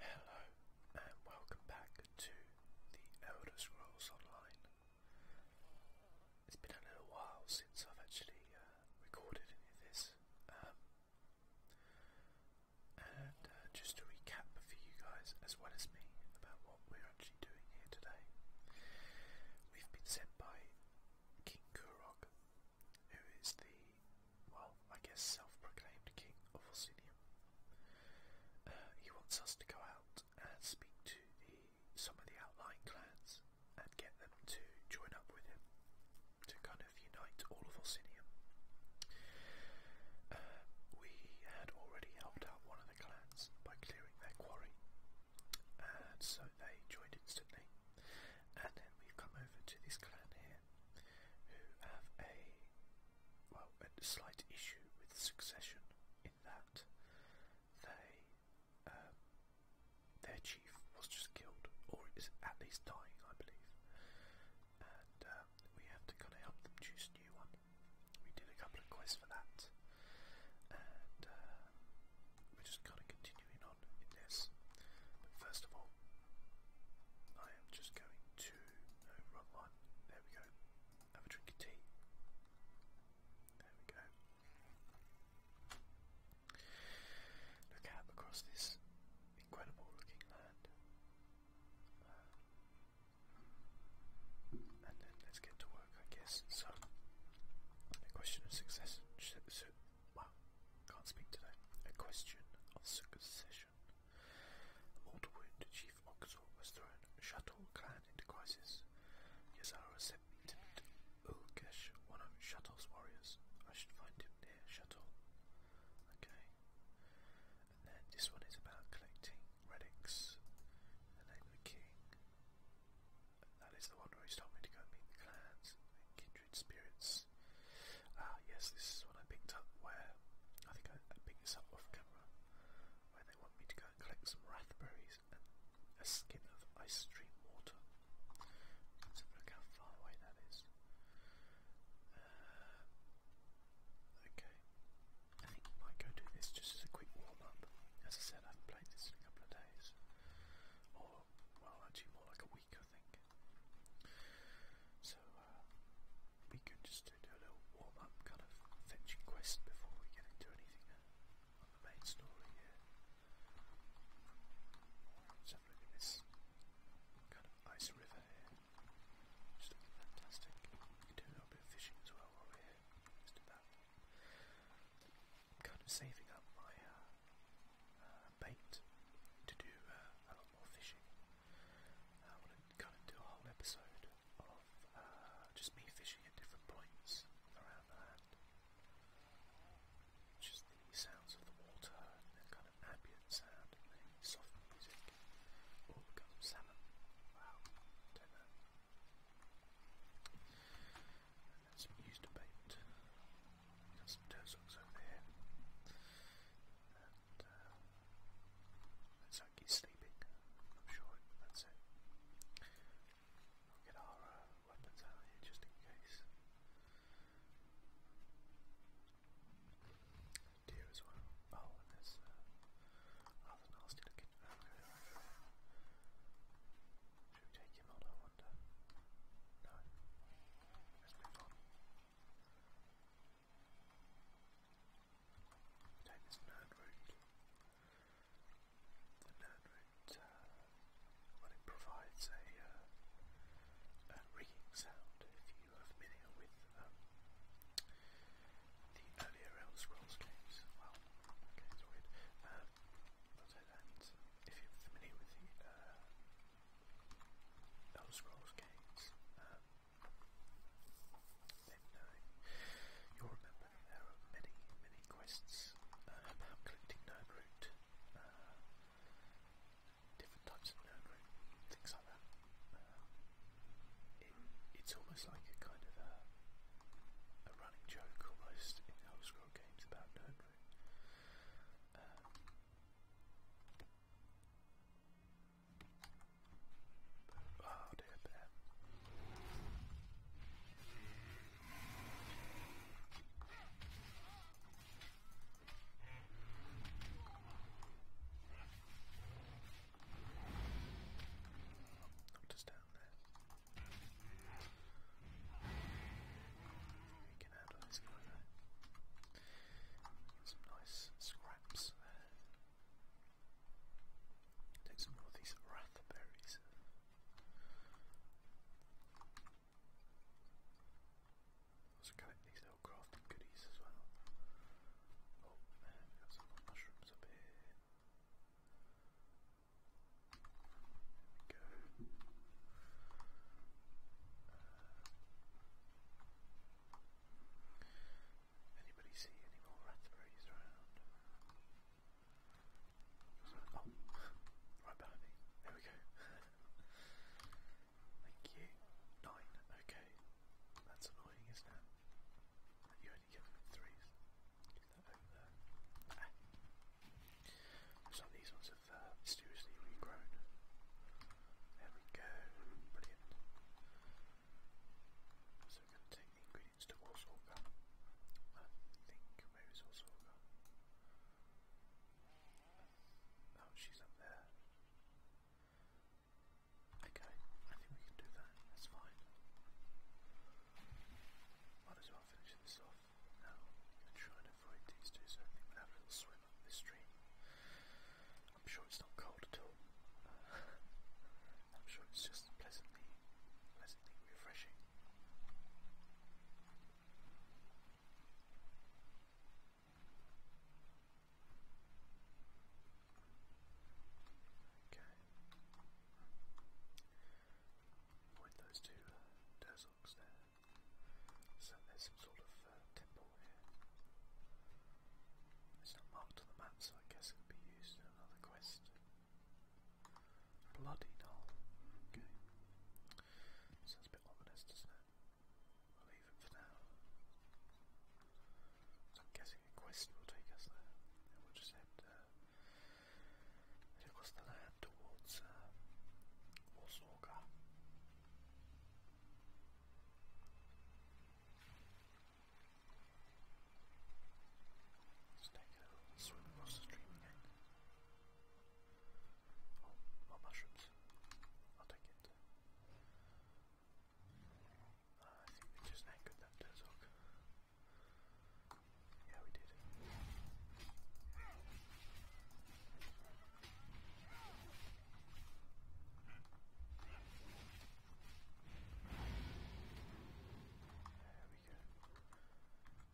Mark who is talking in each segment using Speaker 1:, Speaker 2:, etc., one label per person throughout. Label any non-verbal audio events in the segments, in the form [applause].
Speaker 1: Hello and welcome back to the Elder Scrolls Online. It's been a little while since I've actually uh, recorded any of this. Um, and uh, just to recap for you guys as well as me about what we're actually doing here today. We've been sent by King Kurok, who is the well, I guess self-proclaimed king of Orsinium. Uh, he wants us to go out and speak to some of the outlying clans and get them to join up with him to kind of unite all of Orsinium. Uh, we had already helped out one of the clans by clearing their quarry, and so they joined instantly. And then we've come over to this clan here who have a well a slight issue with succession in that they um, their chief was just killed or is at least dying I believe and um, we have to kind of help them choose a new one we did a couple of quests for that and uh, we're just kind of continuing on in this first of all I just going to, no, one, there we go, have a drink of tea, there we go. Look out across this incredible looking land. Uh, and then let's get to work, I guess. So, a question of success. Well, can't speak today. A question of succession. Oldwood Chief Oxor was thrown Shuttle Clan into crisis. Yazara sent me to meet one of Shuttle's warriors. I should find him near Shuttle. Okay. And then this one is about collecting relics. The the king. that is the one where he's told me to go meet the clans kindred spirits. Ah, yes, this is one I picked up where, I think I, I picked this up off camera, where they want me to go and collect some raspberries and a skin of ice stream water. Let's have a look how far away that is. Uh, okay, I think I might go do this just as a quick warm up. As I said, I haven't played this in a couple of days, or well, actually more like a week, I think. So uh, we could just do a little warm-up kind of fishing quest before we get into anything uh, on the main story here. Let's this kind of ice river here. Just looking fantastic. We can do a little bit of fishing as well while we're here. let do that. kind of saving up my uh, uh, bait to do uh, a lot more fishing. I want to kind of do a whole episode of uh, just me fishing at different points around the land. Just the sounds of the water and the kind of ambient sound the soft music. All the kind of salmon. Wow, don't know. And that's bait. some tozoks over there. It's like he's sleeping. I'm sure that's it. We'll get our uh, weapons out here just in case. Deer as well. Oh, and uh, rather nasty looking Should we take him on, I wonder? No. Let's move on. Name is Nerdroot. The Nerdroot, uh, well, it provides a, uh, sound if you are familiar with the earlier Elder Scrolls games. Well, okay, it's weird. Um, and if you're familiar with the uh, Elder Scrolls games, um, you'll remember there are many, many quests um, about collecting Nernroot, uh, different types of Nernroot, things like that. Um, it's almost like a kind of a, running joke almost in Elder Scrolls games about Nernroot. Oh dear, bear. Not just down there. There we go. Some nice scraps Take some more of these rathberries. Also collect these little crafting goodies as well. Oh man, we got some mushrooms up here. go. Uh, Anybody see any more raspberries around? Oh, right behind me. There we go. [laughs] Thank you. Nine. Okay. That's annoying, isn't it? you only get them in threes. Do that over there. Ah. So these ones have uh, mysteriously regrown. There we go. Brilliant. So we're going to take the ingredients to Warsorga. I think, where is Warsorga? Oh, she's up there. Okay, I think we can do that. That's fine. Might as well finish this off now. i try and avoid these two, so we have a little swim up this stream. I'm sure it's not cold at all. Uh, I'm sure it's just pleasantly, pleasantly refreshing. Okay. Avoid those two uh, Durzocks there. So there's some sort of temple here. It's not marked on the map, so I guess it could be used in another quest. Bloody doll. Okay. Sounds a bit ominous, doesn't We'll leave it for now. I'm guessing a quest will take us there. And we'll just head, uh, across the land towards uh, swim across the stream again. Oh, mushrooms. I'll take it. I think we just anchored that Dezog. Yeah, we did. There we go.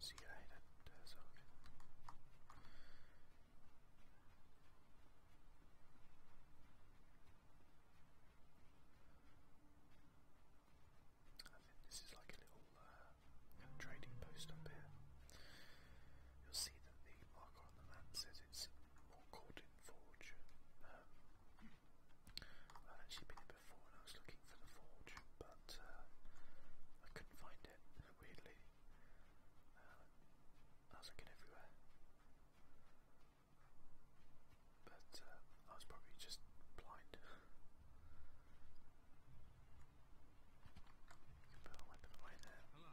Speaker 1: See you later, Derzog. I think this is like a little uh, trading post up here. You'll see the lead marker on the map says it's Morcordon Forge. Um, I've actually been here before and I was looking for the forge, but uh, I couldn't find it, weirdly. Um, I was looking everywhere. But uh, I was probably just blind. You [laughs] can put a weapon away there. Hello.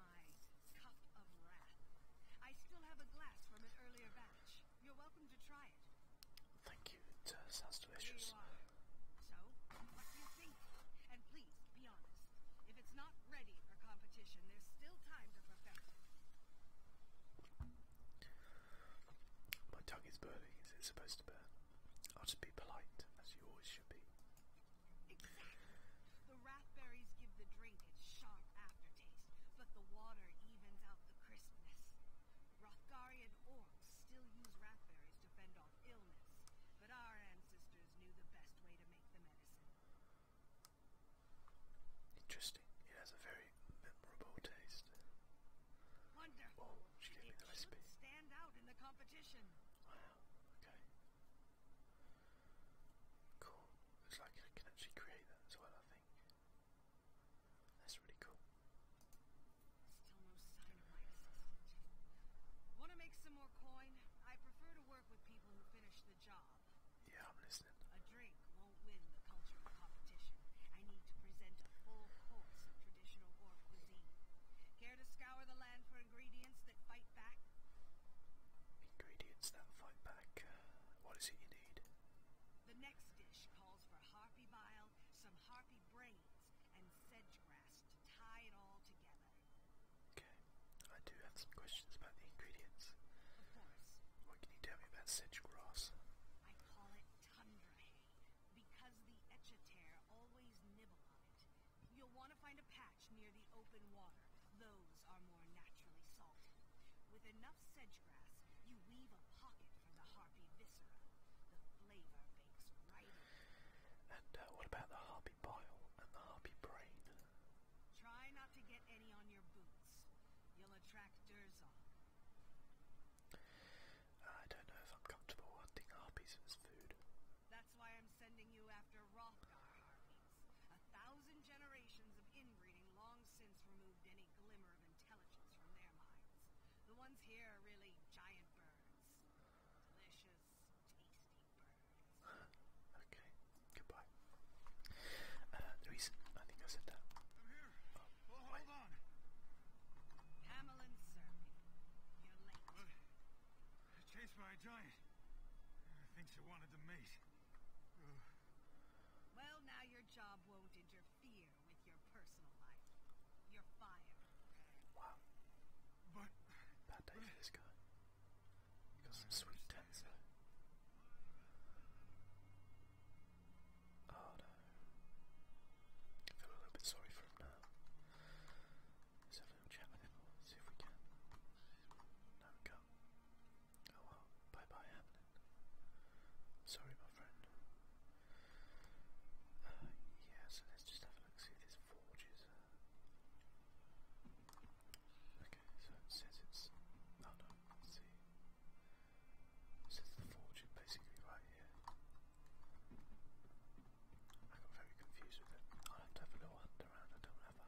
Speaker 2: Thank you. It uh, So, what do you think? And please be honest. If it's not ready for competition, there's still time to perfect
Speaker 1: My tongue is burning. Is it supposed to burn? I'll just be polite, as you always
Speaker 2: should be. Exactly. The raspberries give the drink its sharp aftertaste but the water evens out the crispness. Rothgarian orcs still use raspberries to fend off illness, but our ancestors knew the best way to make the medicine.
Speaker 1: Interesting. It has a very memorable taste.
Speaker 2: Wonderful. Oh, stand out in the competition.
Speaker 1: Wow. Okay. Cool. Looks like I can actually create that as well, I think. That's really cool.
Speaker 2: Wanna make some more coin? I prefer to work with people who finish the job. Yeah, I'm listening. A drink won't win the cultural competition. I need to present a full course of traditional orc cuisine. Care to scour the land for ingredients that fight back?
Speaker 1: Ingredients that fight back. Uh, what is it you need?
Speaker 2: The next dish calls for harpy bile, some harpy brains, and sedge grass to tie it all together.
Speaker 1: Okay, I do have some questions about the ingredients. Of course. What can you tell me about sedge grass?
Speaker 2: I call it tundra hay because the etcheter always nibble on it. You'll want to find a patch near the open water. Those are more naturally salted. With enough sedge grass, you weave a pocket from the harpy viscera. The flavor bakes right And uh, what about the harpy bile and the harpy brain? Try not to get any on your boots. You'll attract Durzon.
Speaker 1: I don't know if I'm comfortable hunting harpies as food.
Speaker 2: That's why I'm sending you after Rothgar Harpy. A thousand generations of inbreeding long since removed any glimmer of intelligence from their minds. The ones here are really giant birds. Delicious, tasty birds.
Speaker 1: [sighs] okay, goodbye. Uh, the reason I think I said that. I'm here. Oh, hold on.
Speaker 2: Hamelin Serby, you're late. What?
Speaker 3: by a giant. I think she wanted to mate.
Speaker 2: Well, now your job won't interfere with your personal life. You're fired. Wow.
Speaker 1: But bad day for this guy. got some sweet tents Oh no. I feel a little bit sorry for him now. Let's have a little chat see if we can. There we go. Oh well, bye bye, Hamlet. Sorry, my friend. Uh, yeah, so let's just have a look, see this forge is. Uh, okay, so it says it's. Oh no, let's see. It says the forge is basically right here. I got very confused with it. i have to have a little hunt around, I don't have a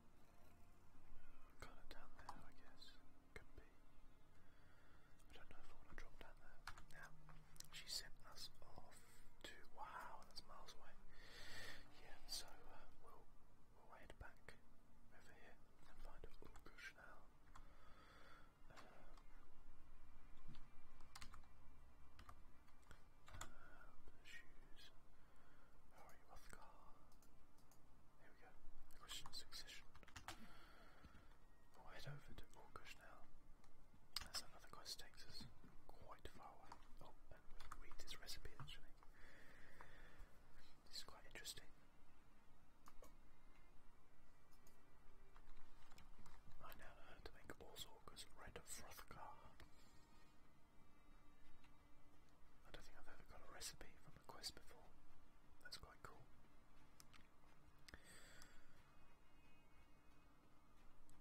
Speaker 1: Kind of down there, I guess. Could be. I don't know if I want to drop down there. Now, she sent us off to. Wow, that's miles away. Yeah, so uh, we'll, we back over here and find a little now. Um, um, shoes. Hurry, oh, off there we go. The question succession. We'll head over to Orkush now. That's another quest takes us quite far away. Oh, and read this recipe actually. This is quite interesting. I know how to make Orsorgus red frothgar. I don't think I've ever got a recipe from a quest before. That's quite cool.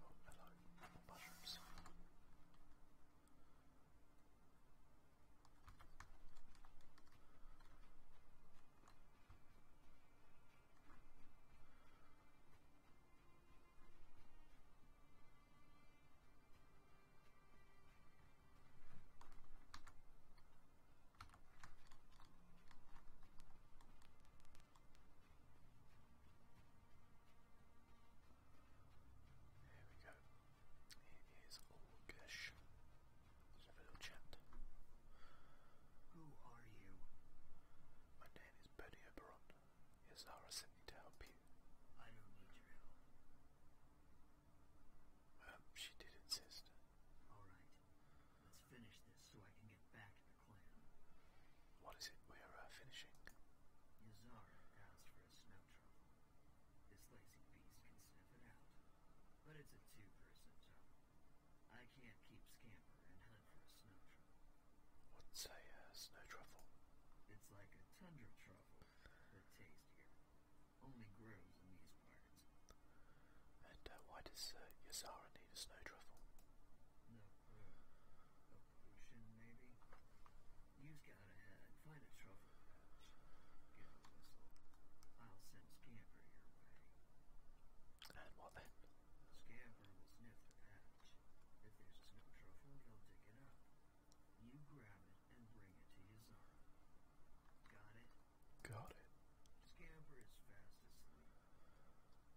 Speaker 1: Oh, hello. More mushrooms. There we go. It is Orgish. Let's have a little chat. Who are you? My name is Benny Oberon. Yes, sent me to help you. I don't need your um, she did insist.
Speaker 3: All right. Let's finish this so I can get back to the clan. What is it we're uh, finishing? Yazara asked for a snow truffle. This lazy beast can sniff it out. But it's a two-person job. I can't keep Scamper and hunt for
Speaker 1: a snow truffle. What's a uh, snow truffle?
Speaker 3: It's like a tundra truffle, but tastier. And
Speaker 1: uh, why does uh, need a snow truffle? No uh,
Speaker 3: maybe? You've got a uh, Find a truffle I'll send Scamper your And what Scamper will sniff the pouch. If there's no truffle, he'll dig it up. Got it? Got it. Scamper is fast asleep.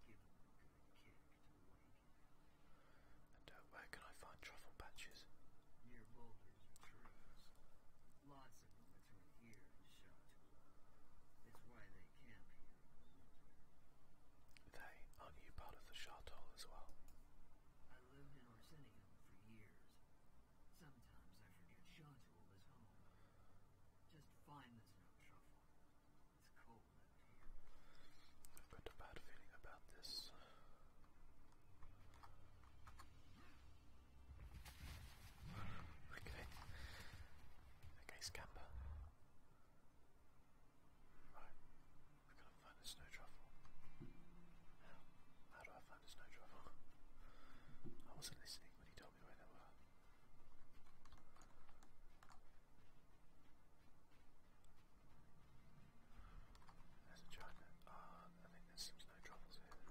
Speaker 1: Give him where can I find truffle patches? Near boulders or Lots of them between here and Shotula. It's why they camp here They, aren't part of the Shartol as well?
Speaker 3: I lived in Orsinium for years, Sometimes I forget Shantul is home. Just find there's no trouble. It's cold out
Speaker 1: here. I've got a bad feeling about this. okay. Okay, scamper. Right. How? do I find a snow truffle? I wasn't listening when he told me where they were. There's a giant. Ah, I think there's some snow truffles here. Uh -oh.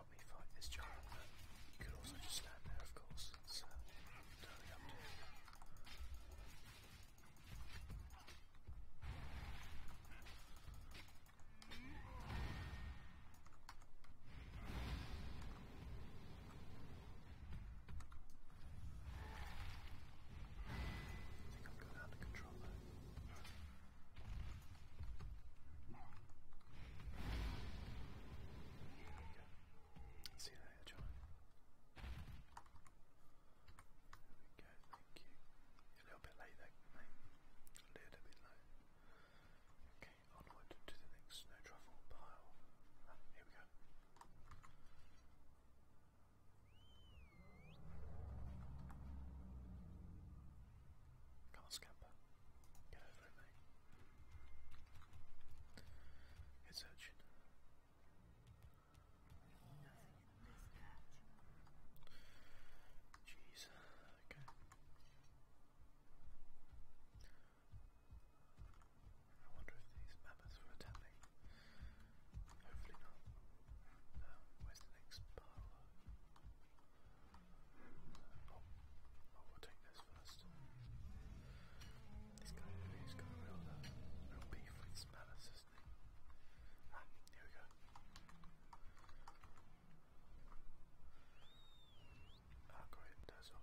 Speaker 1: you could also just stand there, of course. That's uh, I think I've got out of control See you John. There we go, thank you. A little bit late there, mate. A little bit late. Okay, onward to the next snow pile. here we go. Come on, scamper. Get over it, mate. It's urgent. Jeez, okay. I wonder if these mammoths were attacking. Hopefully not. Um, where's the next bar? Oh, oh we'll take this first. This guy over here's got a real, uh, real beef with Smellers, isn't he? Ah, here we go. Ah, great, there's up.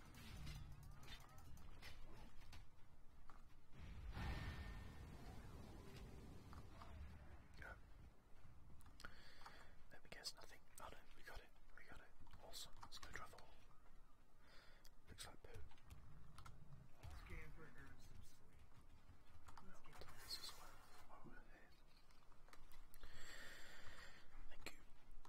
Speaker 1: Go. Let me guess, nothing. Oh no, we got it. We got it. Awesome. It's no truffle. Looks like poo.
Speaker 3: Scan for her and some sleep. Let's get this as well. Thank you.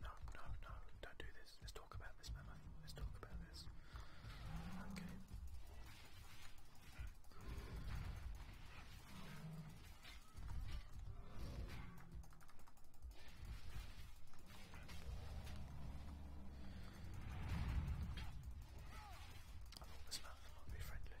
Speaker 1: No, no, no, don't do this. Let's talk about this memo. Let's talk about this. Okay. this mountain might be friendly.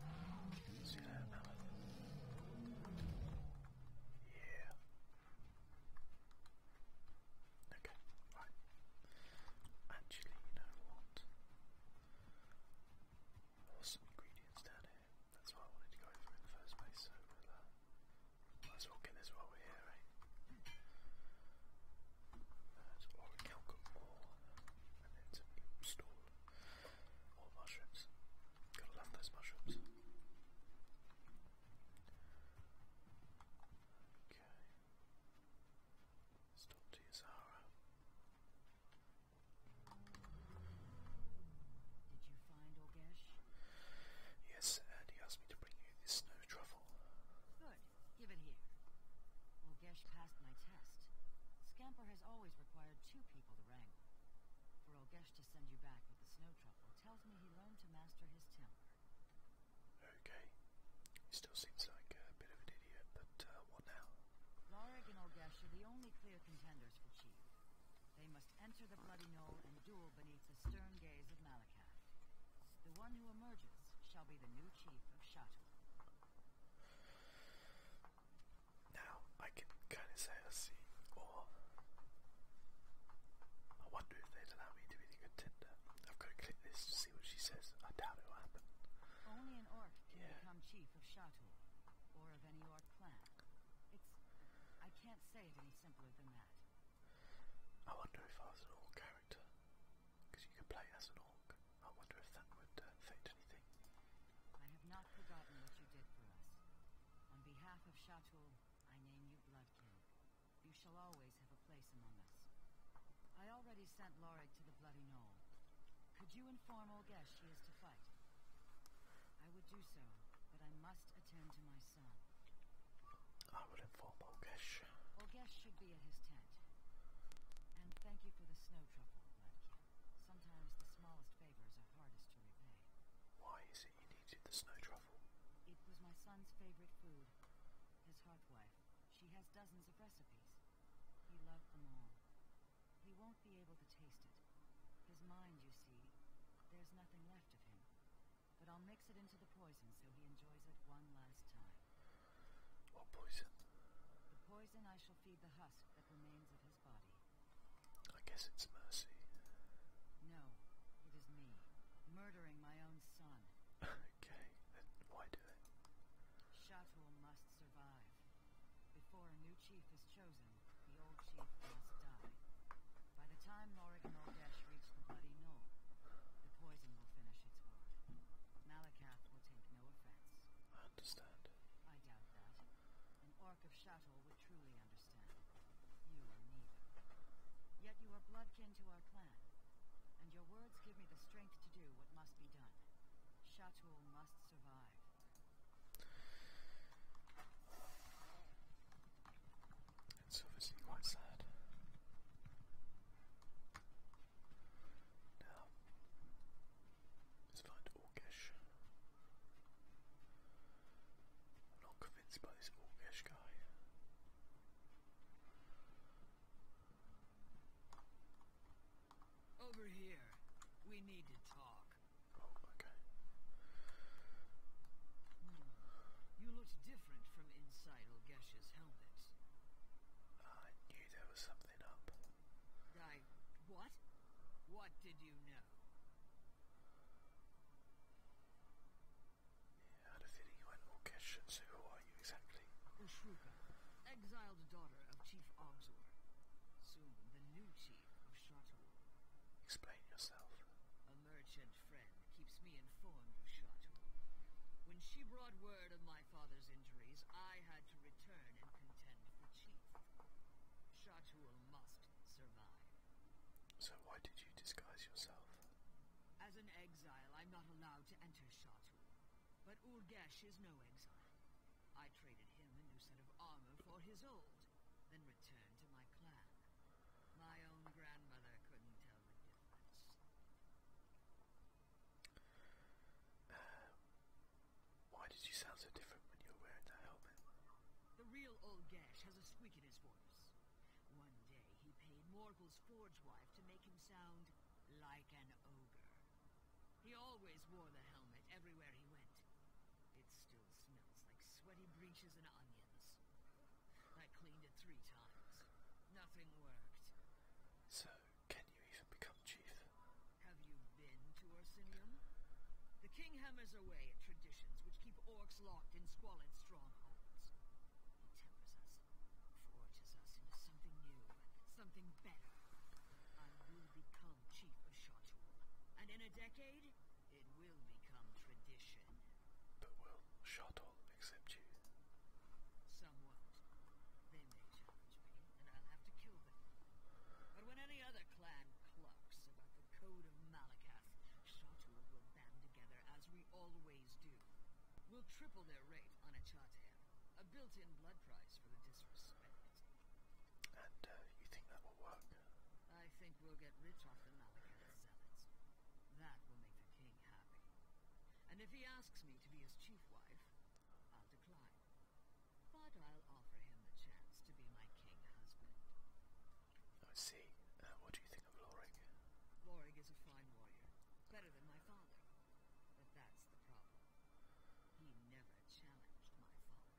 Speaker 1: Oh, he's Yeah. Okay, right. Actually, you know what? There ingredients down that's why I wanted to go through in the first place, so we'll, uh, might as well we're here, right? Uh, so or a calcum more, and then to install mushrooms. Gotta love those mushrooms. Okay. Stop to Yazara. Did you Yes, and asked me to bring you this snow truffle.
Speaker 4: Good. Give it here. Olgesh passed my test. Scamper has always required two people to wrangle. For Olgesh to send you back with the snow truffle tells me he learned to master his temper.
Speaker 1: Okay. He still seems like a bit of an idiot, but uh, what
Speaker 4: now? Lorig and Olgesh are the only clear contenders for chief. They must enter the Bloody Knoll and duel beneath the stern gaze of Malakath. The one who emerges shall be the new chief of Shatu.
Speaker 1: Now, I can kind of see, or I wonder they allow me to be the contender. I've got to click this to see what she says. I doubt it'll happen.
Speaker 4: Only an orc can become chief of Shatu, or of any orc clan. I can't say it any simpler than that.
Speaker 1: I wonder if I was an orc character, because you can play as an orc. I wonder if that would affect uh, anything.
Speaker 4: I have not forgotten what you did for us. On behalf of Shatul, I name you Bloodkin. You shall always have a place among us. I already sent Lorig to the Bloody Knoll. Could you inform Olgesh he is to fight? I would do so, but I must I would inform Olgesh. Olgesh should be at his tent. And thank you for the snow trouble, Sometimes the smallest favors are hardest to repay.
Speaker 1: Why is it you needed the snow
Speaker 4: truffle? It was my son's favorite food. His heartwife. She has dozens of recipes. He loved them all. He won't be able to taste it. His mind, you see, there's nothing left of him. But I'll mix it into the poison so he enjoys it one last time. What poison? The poison I shall feed the husk that remains of his body. I guess it's mercy. No, it is me. Murdering my own son. [laughs] okay, then why do it? Shatul must survive. Before a new chief is chosen, the old chief must die. By the time Lorik and reaches the Bloody Knoll, the poison will finish its work. Malakath will take no offense. I understand. I doubt that. An orc of Shatol would truly understand. You are neither. Yet you are blood kin to our clan, and your words give me the strength to do what must be done. Shatul must survive.
Speaker 1: It's obviously quite sad. Now, let's find Orgesh. not convinced by this Orgesh guy.
Speaker 5: Over here. We need to talk. You looked different from inside Olgesh's
Speaker 1: helmet. I knew there was something up.
Speaker 5: I what? What did you know?
Speaker 1: Yeah, out of when Orkesh and who are you exactly?
Speaker 5: Ushruka, exiled daughter of Chief Ogzor. Soon the new chief of Shatul.
Speaker 1: Explain yourself. A
Speaker 5: merchant friend keeps me informed of Chateau. When she brought word of my father's injuries, I had to return and
Speaker 1: contend with the Chief.
Speaker 5: Chateau must
Speaker 1: survive. So why did you disguise yourself?
Speaker 5: As an exile, I'm not allowed to enter Chateau. But Ulgesh is no exile. I traded him a new set of armor for his old then return to my clan. My own grandmother couldn't
Speaker 1: tell the difference. why did you sound so different when you were wearing that helmet?
Speaker 6: The real old
Speaker 5: Gash has a squeak in his voice. One day he paid Morgul's forge wife to make him sound like an ogre. He always wore the helmet everywhere he went, it still smells like sweaty breeches and onions. I cleaned it three times. Nothing worked. So, can you even become chief? Have you been to Orsinium? The king hammers away at traditions which keep orcs locked in squalid strongholds. He tempers us, forges us into something new, something better. I will become chief of Shatul, and in a decade, it will become tradition.
Speaker 1: But will Shardol accept you?
Speaker 5: Somewhat. They may challenge me, and I'll have to kill them. But when any other clan clucks about the code of Malakath, Shardol will band together as we always do. We'll triple their rate on a Achatea, a built-in blood price for the
Speaker 1: disrespect. And uh, you think that will work?
Speaker 5: I think we'll get rich off the Malachite zealots. That will make the king happy. And if he asks me to be his chief wife, I'll decline. But I'll offer him the chance to be my king husband.
Speaker 1: I see. Uh, what do you think of Lorig?
Speaker 5: Lorig is a fine warrior. Better than my father. But that's the problem. He never challenged my father.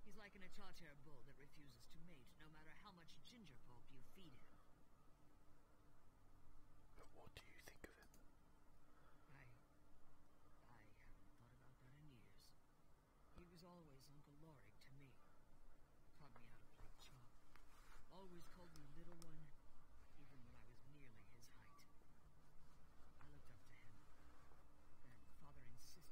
Speaker 5: He's like an Acharter bull that refuses to mate, no matter how much ginger pulp you feed him. But what do you think of it? I... I haven't thought about that in years. He was always Uncle Lorig to me. Taught me how to play chop. Always called me Little One, even when I was nearly his height. I looked up to him, do you hold that against him?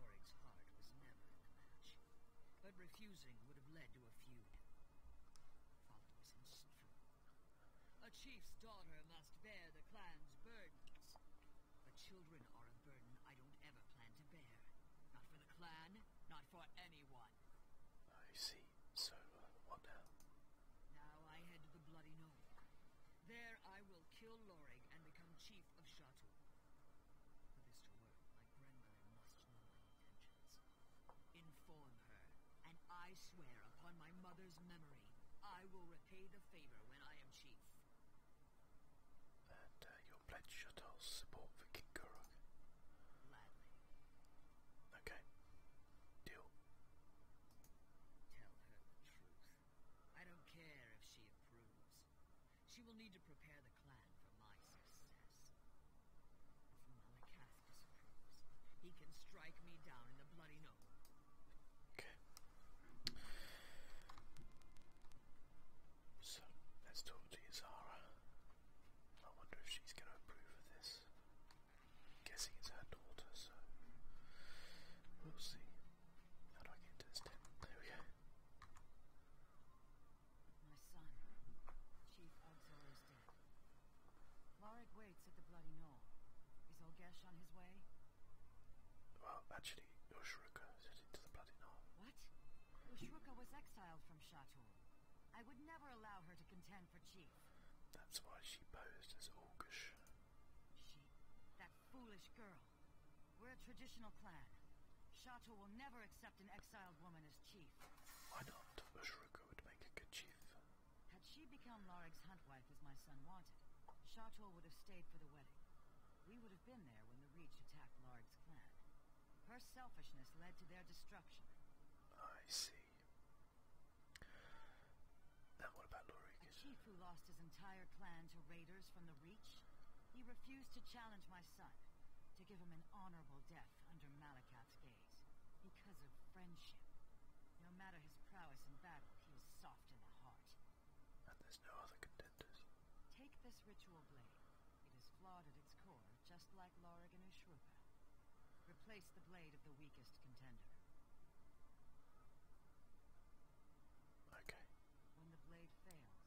Speaker 5: Loring's heart was never in the but refusing would have led to a feud. Father was insufferable. A chief's daughter must bear the clan's burdens. But children are a burden I don't ever plan to bear. Not for the clan, not for anyone.
Speaker 1: I see. So, uh, what now?
Speaker 5: Now I head the Bloody there I will kill Lorig and become chief of Shatu. For this to work, my grandmother must know Inform her, and I swear upon my mother's memory, I will repay the favor when I am chief.
Speaker 1: And uh, you'll support for King Gurug? Gladly. Okay do. Tell her the truth.
Speaker 5: I don't care if she
Speaker 3: approves.
Speaker 5: She will need to prepare the clan for my success. If Malakas disapproves, he can strike me down in the bloody noble. Okay.
Speaker 1: So let's talk to Yazara. I wonder if she's going to approve of this guessing it's her daughter, so we'll see. How do I get into this tent? There we go.
Speaker 4: My son, Chief Ogzor is dead. Larig waits at the Bloody Knoll. Is Olgesh on his way?
Speaker 1: Well, actually, Ushruka is heading to the Bloody
Speaker 4: Knoll. What? Ushruka was exiled from Shatul. I would never allow her to contend
Speaker 1: that's why she posed as Orcish.
Speaker 4: She, that foolish girl. We're a traditional clan. Shato will never accept an exiled woman as chief. Why not?
Speaker 1: Ashruka would make a
Speaker 4: good chief. Had she become hunt wife as my son wanted, Shato would have stayed for the wedding. We would have been there when the Reach attacked Larik's clan. Her selfishness led to their destruction.
Speaker 1: I see.
Speaker 4: Now what about Lorik? The chief who lost his entire clan to raiders from the Reach? He refused to challenge my son, to give him an honorable death under Malakat's gaze, because of friendship. No matter his prowess in battle, he was soft in the heart. And there's no other contenders. Take this ritual blade. It is flawed at its core, just like Lorigan Ushrupa. Replace the blade of the weakest contender. Okay. When the blade fails,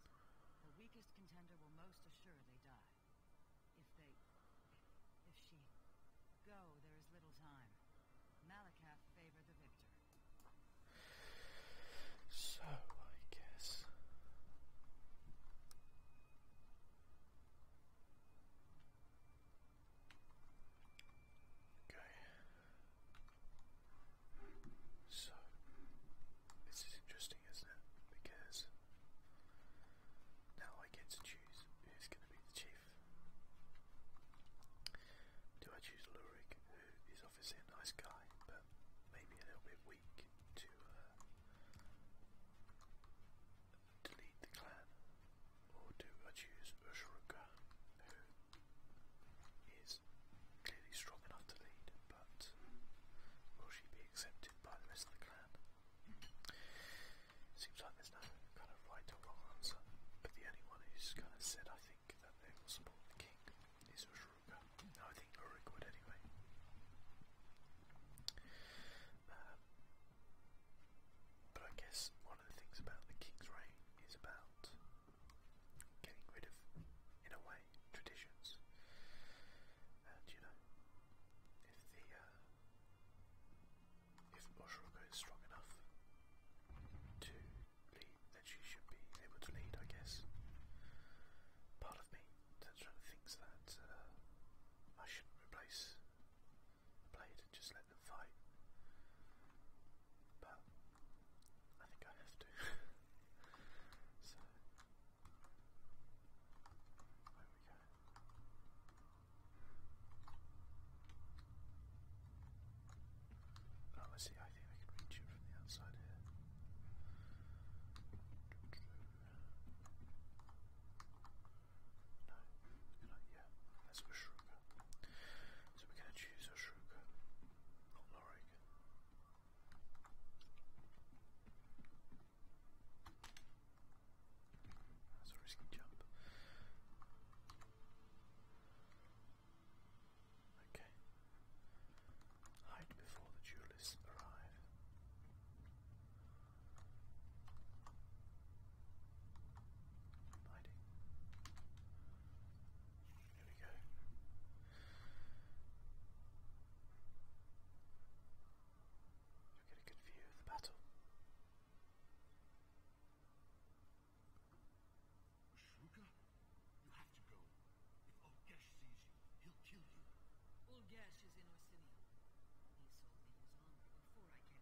Speaker 4: the weakest contender will most assuredly die. If they... if she... go, there is little time. Malakath favor the victor.
Speaker 1: So, I guess... Okay. So this is interesting, isn't it? Because now I get to choose who's going to be the chief. Do I choose Lurik, who is obviously a nice guy, but maybe a little bit weak uh, delete the clan, or do I choose Ushuruka, who is clearly strong enough to lead, but will she be accepted by the rest of the clan? Seems like there's no kind of right or wrong answer, but the only one who's kind of said, I think, that they will support the king is Ushuruka. I think Uruk would anyway. Um, but I guess one of the things about the King's reign is about getting rid of, in a way, traditions. And you know, if the uh, if Oshroko is strong enough to lead, then she should be able to lead, I guess. Part of me that's trying to thinks that uh, I shouldn't replace played and just let them fight. But I think I have to. [laughs] so where we go. Oh, I see. I think I can reach it from the outside here. No, yeah, let's go So we're going to choose a not Lorigan. That's a risky jump. Okay. Hide before the duelists arrive lighting. we go. you get a good view of the battle. Shruka, you have to go. If Olgesh
Speaker 5: sees you, he'll kill you. Olgesh is in Arsenio. He sold me his armor before I came.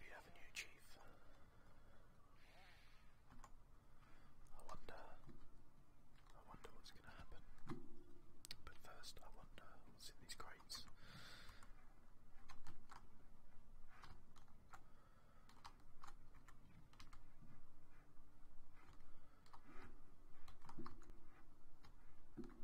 Speaker 1: You have a new chief. I wonder. I wonder what's going to happen. But first, I wonder what's in these crates. So,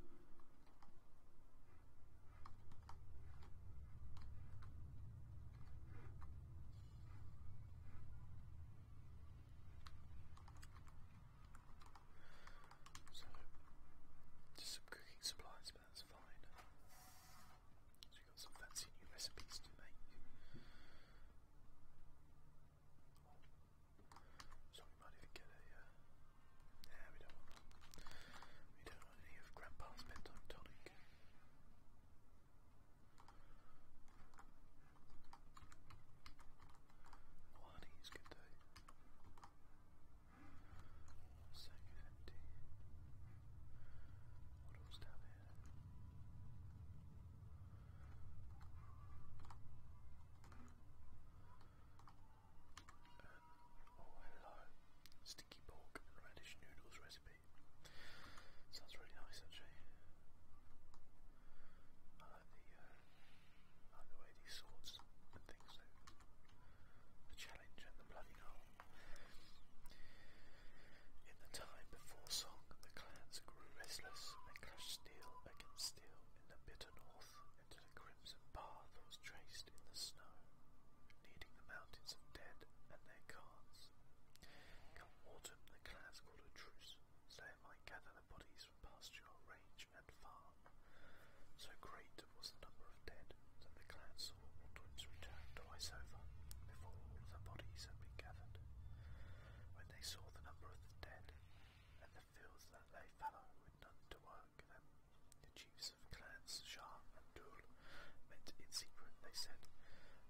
Speaker 1: just some cooking supplies, but that's fine. So we got some fancy new recipes to make. So we might even get a, yeah, uh, we don't We don't want any of Grandpa's bedtime tonic. Oh, honey is good though. Sack is empty. What else down here? an Ohio sticky pork and radish noodles recipe. Sounds really nice actually. Uh, the, way these swords and things The challenge and the bloody hole. In the time before Song, the clans grew restless and clashed steel against steel in the bitter north into the crimson path was traced in the snow, leading the mountains dead and their carts. Come autumn, the clans called a truce, so they might gather the bodies from pasture, range, and farm. So great was the number of dead that the clan saw Aldwin's return twice over, before all the bodies had been gathered. When they saw the number of the dead, and the fields that lay fallow none to work them. The chiefs of clans Shah and Dhul met in secret. They said,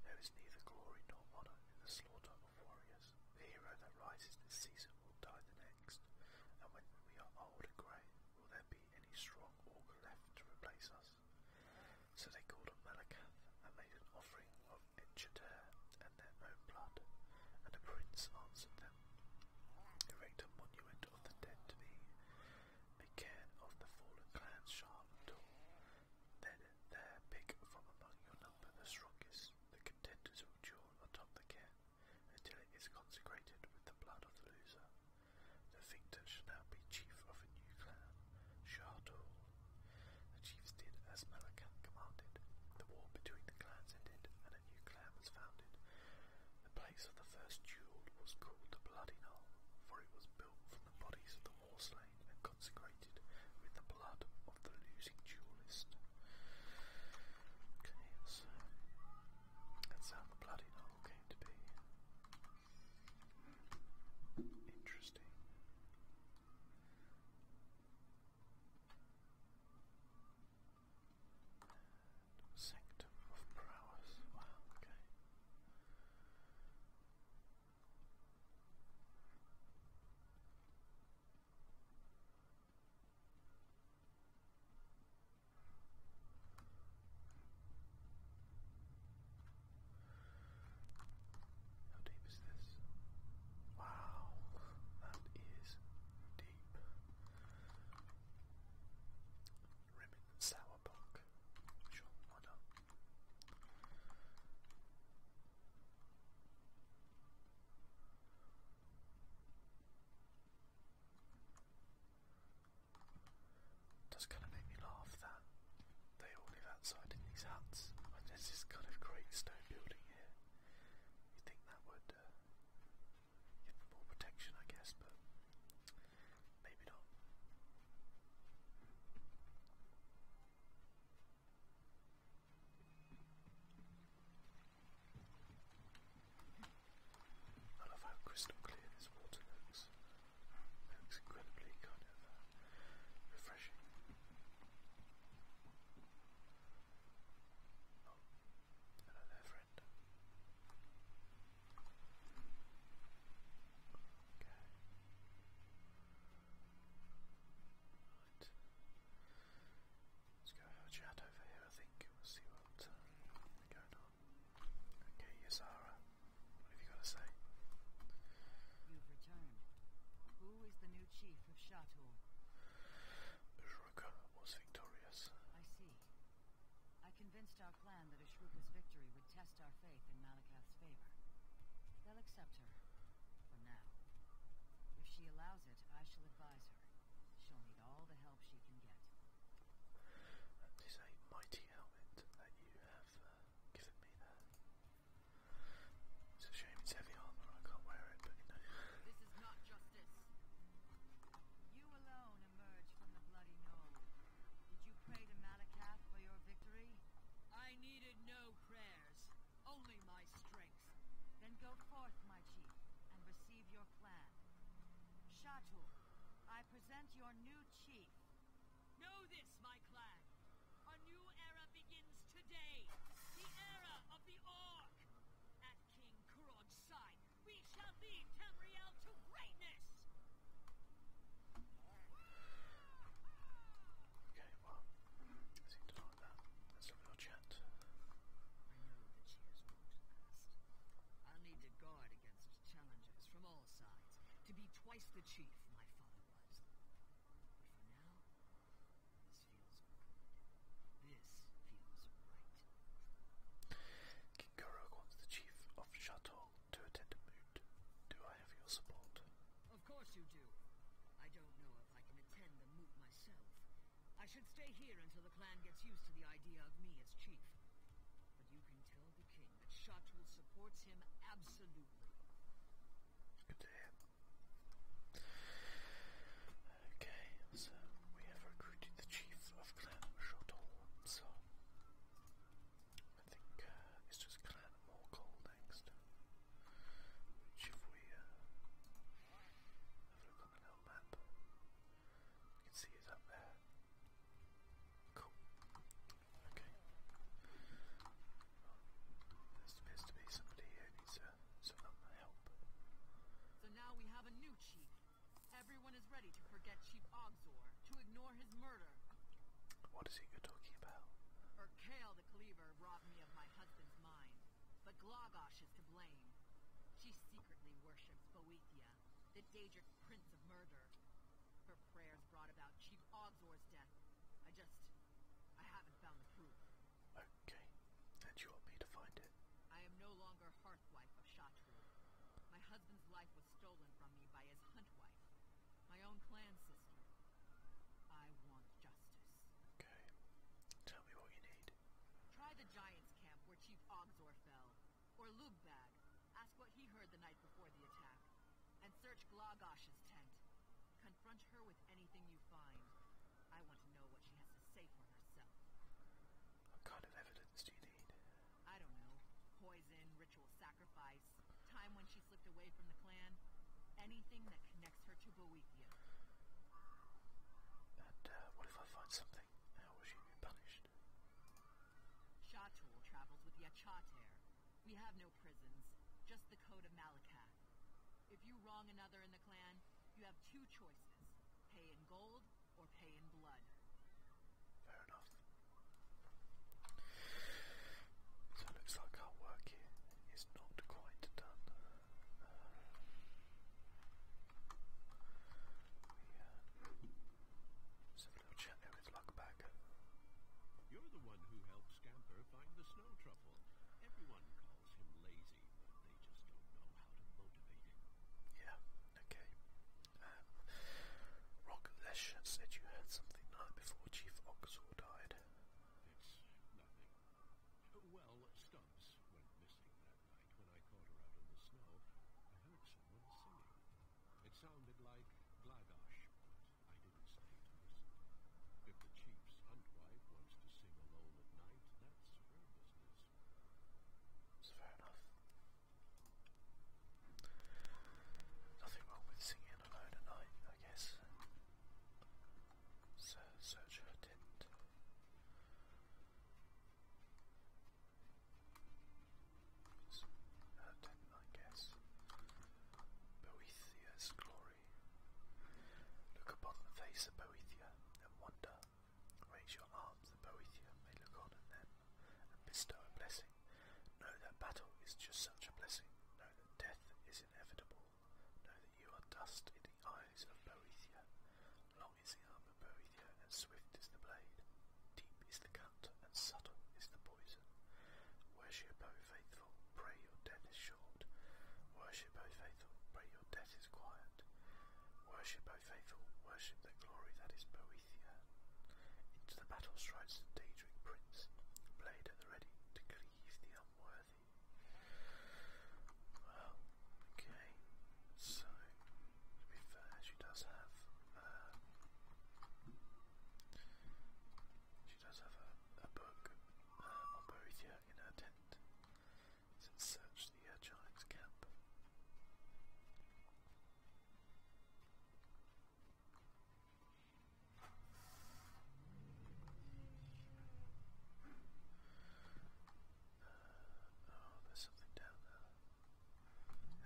Speaker 1: There is neither glory nor honour in the slaughter of warriors. The hero that rises this season will die the next, and when we are old and grey, will there be any strong augur left to replace us? So they called on Malakath and made an offering of Enchater and their own blood, and the prince answered them erect a monument of the dead to me, Mikan of the fallen clan's sharp Then there pick from among your number the strongest, the contenders will duel atop the cairn until it is consecrated with the blood of the loser. The victor shall now be chief of a new clan, Shardul. The chiefs did as Malakan commanded. The war between the clans ended, and a new Clare was founded. The place of the first duel was called the Bloody Knoll, for it was built from the bodies of the war slain and consecrated with the blood of the losing duelist. Okay, so uh, that's how the Bloody Knoll came to be. Interesting. Sanctum of Prowess. Wow, okay. How deep is this? Wow, that is deep. Ribbon and Sure, why not? Does kind of make me laugh that they all live outside in these huts. there's this kind of great stone building here. You think that would uh, Give more protection, I guess, but maybe not. I love how crystal clear this water looks. It looks incredibly kind of uh, refreshing. Oh, hello there, friend. Okay. Right. Let's go have a chat over here, I think. We'll see what's going on. Okay, Yasara, what have you got to say?
Speaker 4: You've Who is the new chief of Shatul? was victorious. I see. I convinced our clan that Ashruka's victory would test our faith in Malakath's favor. They'll accept her. For now. If she allows it, I shall advise her. She'll need all the help she can get.
Speaker 1: That is a mighty helmet that you have uh, given me there. It's a shame it's heavy armor, I can't wear it,
Speaker 6: This is not justice.
Speaker 4: You alone emerged from the bloody knoll. Did you pray to Malakath for your victory? I needed no prayers, only my strength. Then go forth, my chief, and receive your clan. Shatul, I present your new chief.
Speaker 5: Know this, my clan. A new era begins today. The era of the Orc. King Kurog's side, we shall lead Tamriel to greatness! Okay,
Speaker 1: well, I like that. let a little chat.
Speaker 5: I need to guard against challengers from all sides, to be twice the chief my father was. But for now,
Speaker 1: King Gurug wants the chief of Shatol to attend a moot. Do I have your support?
Speaker 5: Of course you do. I don't know if I can attend the moot myself. I should stay here until the clan gets used to the idea of me as chief. But you can tell the king that Shatul supports him
Speaker 1: absolutely. Good to Okay, so we have recruited the chief of Clan Shotol himself. I think uh, it's just Clan Morgul next. if we uh, have a look on the
Speaker 2: map, you can see it's up there. Cool.
Speaker 1: Okay. Well, appears to be somebody who needs uh, some help.
Speaker 6: So now we have a new new chief. Everyone is ready to forget Chief Ogzor, to ignore his murder.
Speaker 1: What is he talking about?
Speaker 6: Urkale the Cleaver robbed me of my husband's mind, but Glogosh is to blame. She secretly worships Boethia, the Daedric Prince of Murder. Her prayers brought about Chief Ogzor's death. I just... I haven't found the proof.
Speaker 1: Okay, and you want me to
Speaker 6: find it? I am no longer hearthwife of Shatru. My husband's life was stolen from me by his huntwife, my own clan sister. I want justice. Okay, tell me what you need. Try the Giants' camp where Chief Ogzor fell, or Lugbag. Ask what he heard the night before the attack, and search Glagosh's tent. Confront her with anything you find. I want to know what she has to say for herself.
Speaker 1: What kind of evidence do you need?
Speaker 6: I don't know. Poison, ritual sacrifice, time when she slipped away from the clan. Anything that connects her to Boethia.
Speaker 1: And uh, what if I find something? How will she be punished?
Speaker 6: Shatul travels with Yachater. We have no prisons, just the code of Malakath. If you wrong another in the clan, you have two choices. Pay in gold or pay in blood.
Speaker 1: Fair enough. looks like our work here is not quite done. Uh, we, uh, let's with Luckbag. You're the one who helped Scamper find the snow truffle. Everyone yeah, okay. Um, said you heard something night before Chief Oxor died. Well, Stumps went missing that night when I caught her out in the snow. I heard someone singing. It sounded like Glagash, but I didn't stay to listen. If the Chief's hunt wife wants to sing alone at night, that's her business. It's fair enough. Nothing wrong with singing alone at night, I guess. So Sergio didn't. Uh, did I guess. Boethia's glory. Look upon the face of Boethia and wonder Raise your arms, the Boethia may look on at them and bestow a blessing. Know that battle is just such a blessing. Know that death is inevitable. Know that you are dust in the eyes of Boethia. Long is the arm of Boethia, and swift is the blade. Deep is the cut, and subtle is the poison. Worship, O faithful, pray your death is short. Worship Worship, O faithful, pray your death is quiet. Worship, O faithful, worship the glory that is Boethia. Into the battle strides the prince, blade at the ready to cleave the unworthy. Well, okay, so to be fair, she does have. Um,
Speaker 2: she does have a, book uh, on Boethia in her tent and searched the giant's
Speaker 1: camp. oh, there's something down there.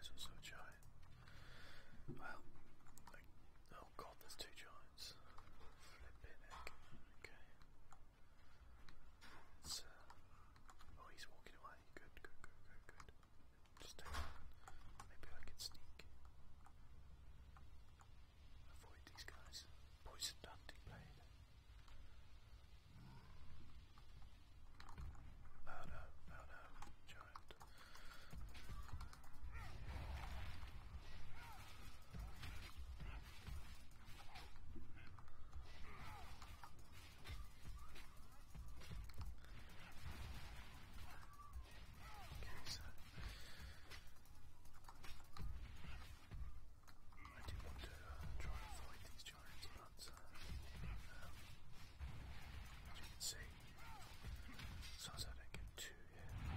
Speaker 1: There's also a giant. Well, oh god, there's two giants. Flipping heck. Okay oh, he's walking away. Good, good, good, good, good. Just Maybe I can sneak. Avoid these guys. Poison hunting blade. Oh no, oh giant. Okay, so I do want to try and fight these giants, but as you can see, as long I get too hit, okay.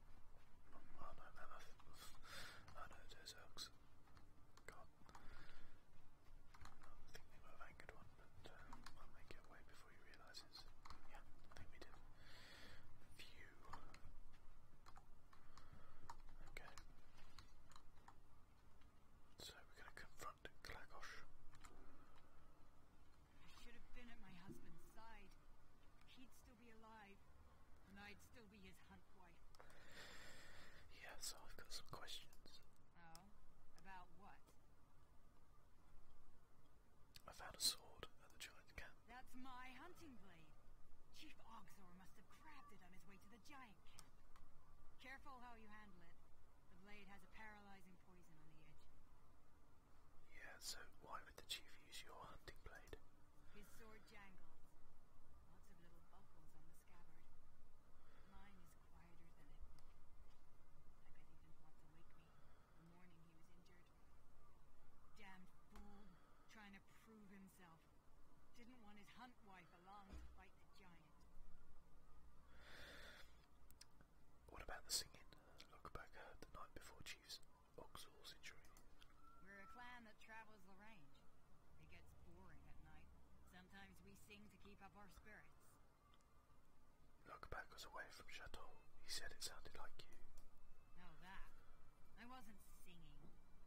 Speaker 1: Oh no, no, that's, God. I think we have anchored one, but I'll make it away before he realises. Yeah, I think we did. Phew. Okay. So we're going to confront Klagosh.
Speaker 7: You should have been at my husband's side. He'd still be alive, and I'd still be his hunt wife.
Speaker 1: I've got some questions.
Speaker 7: Oh, about what?
Speaker 1: I found a sword at the giant camp.
Speaker 7: That's my hunting blade. Chief Ogzor must have grabbed it on his way to the giant camp. Careful how you handle it. The blade has a paralyzing poison on the edge.
Speaker 1: Yeah, so why would the chief use your hunting
Speaker 7: blade? His sword jangles. Lots of little buckles on the scabbard. Mine is quieter than it. I bet he didn't want to wake me the morning he was injured. Damned fool, trying to prove himself. Didn't want his hunt wife along to fight the giant.
Speaker 1: What about the singing? Look heard the night before Chief's we're
Speaker 7: a clan that travels the range. It gets boring at night. Sometimes we sing to keep up our spirits.
Speaker 1: Look back us away from Chateau. He said it sounded like you.
Speaker 7: No, that. I wasn't singing.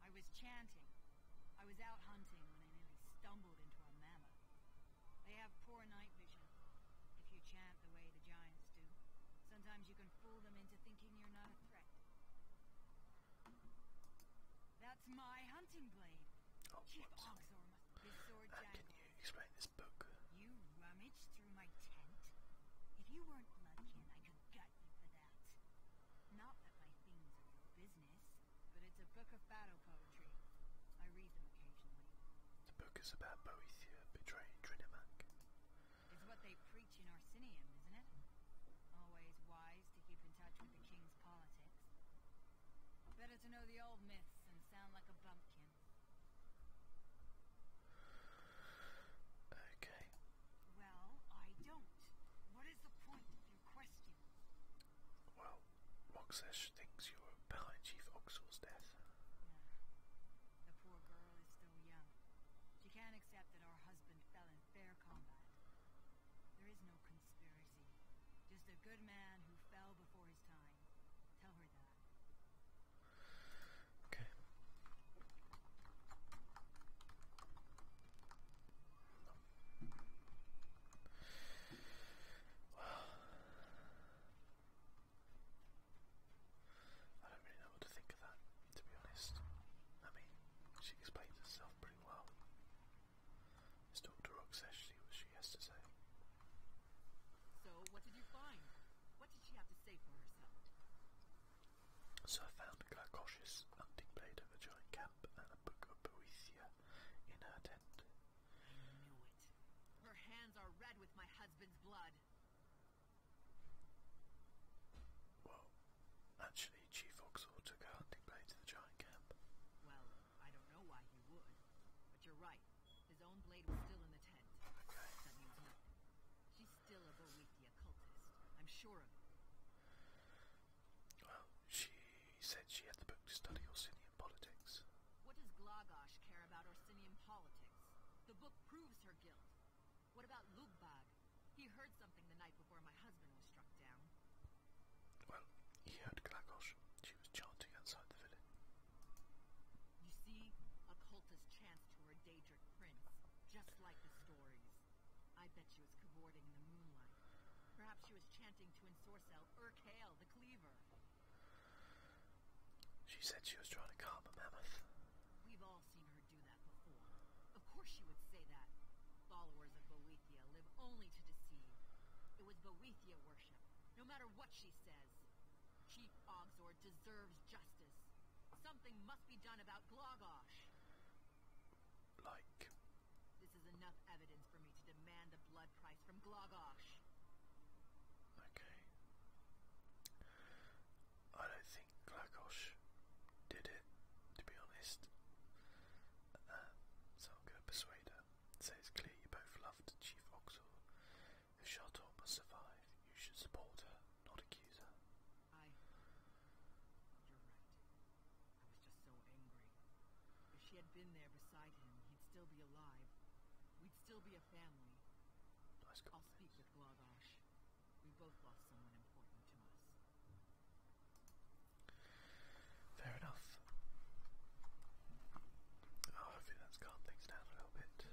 Speaker 7: I was chanting. I was out hunting when I nearly stumbled into a mammoth. They have poor night vision. If you chant the way the giants do, sometimes you can fool them into thinking that's my hunting blade. Oh, explain this book? You rummaged through my tent? If you weren't bloodkin, I could gut you for that. Not that my things are your business, but it's a book of battle poetry. I read them occasionally.
Speaker 1: The book is about Boethia
Speaker 7: betraying Trinimac. It's what they preach in Arsinium, isn't it? Always wise to keep in touch with the king's politics. Better to know the old myths and sound like a bumpkin. Okay. Well, I don't. What is the point of your question?
Speaker 1: Well, Moxesh thinks you're behind Chief Oxal's death.
Speaker 7: The poor girl is still young. She can't accept that her husband fell in fair combat. There is no conspiracy. Just a good man who fell before his time. Tell her that. Okay.
Speaker 1: Well, I don't really know what to think of that, to be honest. I mean, she explains herself pretty well. Let's talk to Rock says what she has to say.
Speaker 6: So what did you find? What did she have to say for herself?
Speaker 1: So I found Glacos's hunting blade of a giant camp and a book of Boethia in her tent. I
Speaker 6: knew Her hands are red with my husband's blood.
Speaker 1: Well, actually, Chief Oxall took out the blade to the giant
Speaker 6: camp. Well, I don't know why he would, but you're right. His own blade was still in the tent. That means nothing. She's still a Boethia cultist. I'm sure of it.
Speaker 1: Well, she said she had the book to study Orsinian
Speaker 6: politics. What does Glagosh care about Orsinian politics? The book proves her guilt. What about Lugbag? He heard something the night before my husband was struck down.
Speaker 1: Well, he heard Glagosh. She was chanting outside
Speaker 6: You see, a cultist to her Daedric prince, just like the stories. I bet she was cavorting in the moonlight. Perhaps she was chanting to Ensorcel Urkhail the Cleaver. She said she was trying to calm a mammoth. We've all seen her do that before. Of course she would say that. Followers of Boethia live only to deceive. It was Boethia worship, no matter what she says. Chief Ogzor deserves justice. Something must be done about Glogosh. Like? This is enough evidence for me to demand the blood price from Glogosh.
Speaker 1: Okay. I don't think Glakosh did it, to be honest. Um, so I'm going to persuade her. It clear you both loved Chief Oxor. If Charton must survive, you should support her,
Speaker 6: not accuse her. I... You're right. I was just so angry. If she had been there beside him, he'd still be alive. We'd still be a family. I'll speak with Glagosh. We
Speaker 1: Fair enough. Oh, hopefully that's calmed things down a little bit. So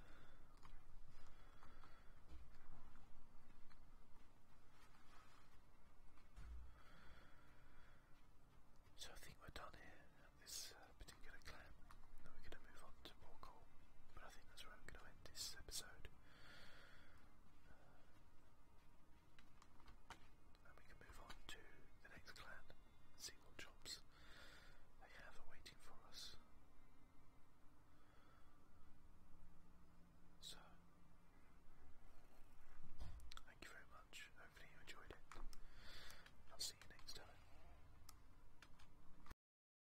Speaker 1: I think we're done here at this uh, particular clan, and we're going to move on but I think that's where I'm going to end this episode. Uh, and we can move on to the next clan, see jobs they have awaiting for us. So, thank you very much. Hopefully, you enjoyed it. I'll see you next time.